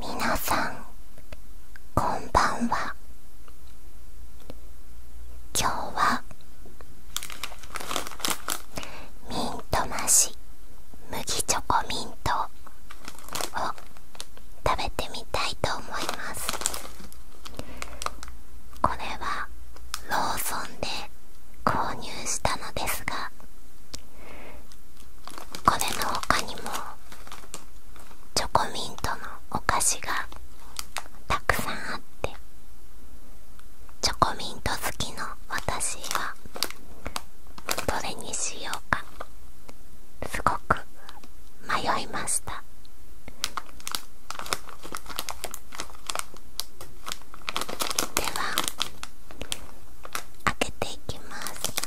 皆さんこんばんは今日はミントなし麦チョコミントを食べてみたいと思いますこれはローソンで購入したのですがこれの他にもチョコミントのお菓子がたくさんあってチョコミント好きの私はどれにしようかすごく迷いましたでは開けていきます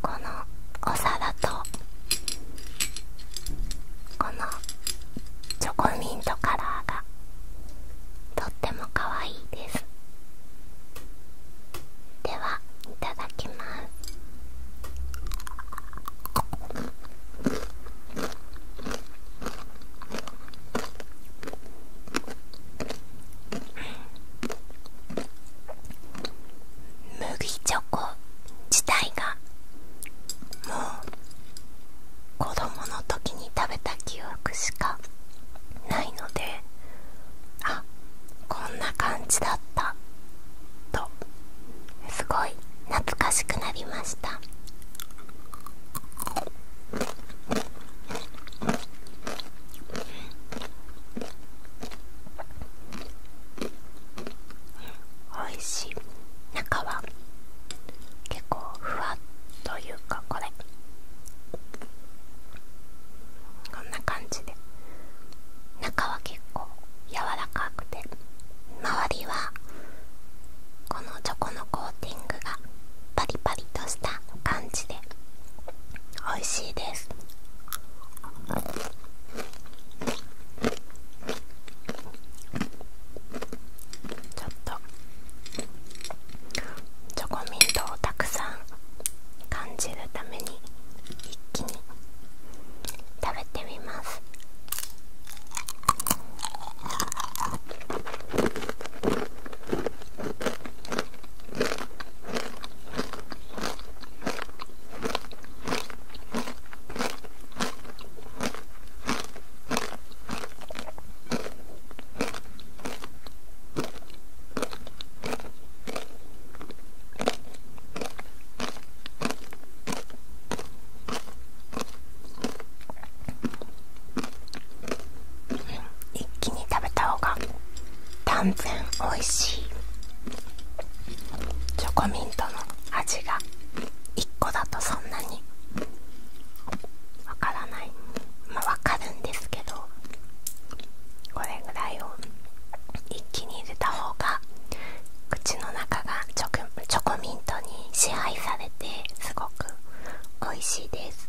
このお皿とこのチョコミントカラーがとってもかわいいですではいただきます麦チョコ自体がもう子供の時に食べた記憶しかないのであこんな感じだったとすごい懐かしくなりましたおいしい中は結構ふわっというかこれこんな感じで中は結構柔らかくて周りはこのチョコのコーティングがパリパリとした感じで美味しいですちょっとチョコミントをたくさん感じるために一気に食べてみます一気に食べた方が断然美味しいチョコミントの味が1個だとそんなにわからないまあわかるんですけどこれぐらいを一気に入れた方が口の中がチョコミントに支配されてすごく美味しいです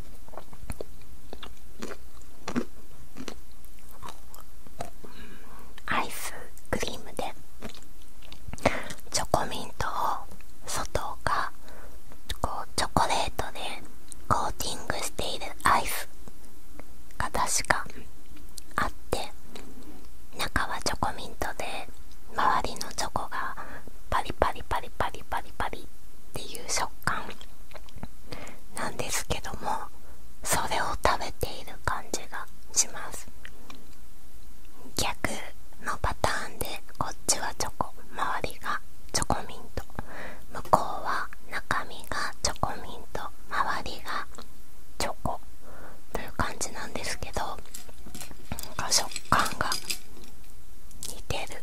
アイスクリームでチョコミントを外がこうチョコレートでコーティングしているアイスが確かあって中はチョコミントで周りのチョコがパリパリパリパリパリパリっていう食感なんですけどもそれを食べている感じがします逆のパターンでこっちはチョコ周りがチョコミント向こうは中身がチョコミント周りがチョコという感じなんですけどなんか食感が似てる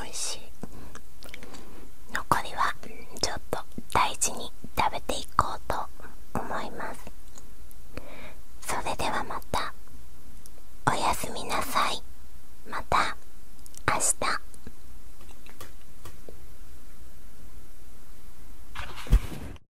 おいしい残りはちょっと大事に食べていこうと思いますそれではまたおやすみなさいまた明日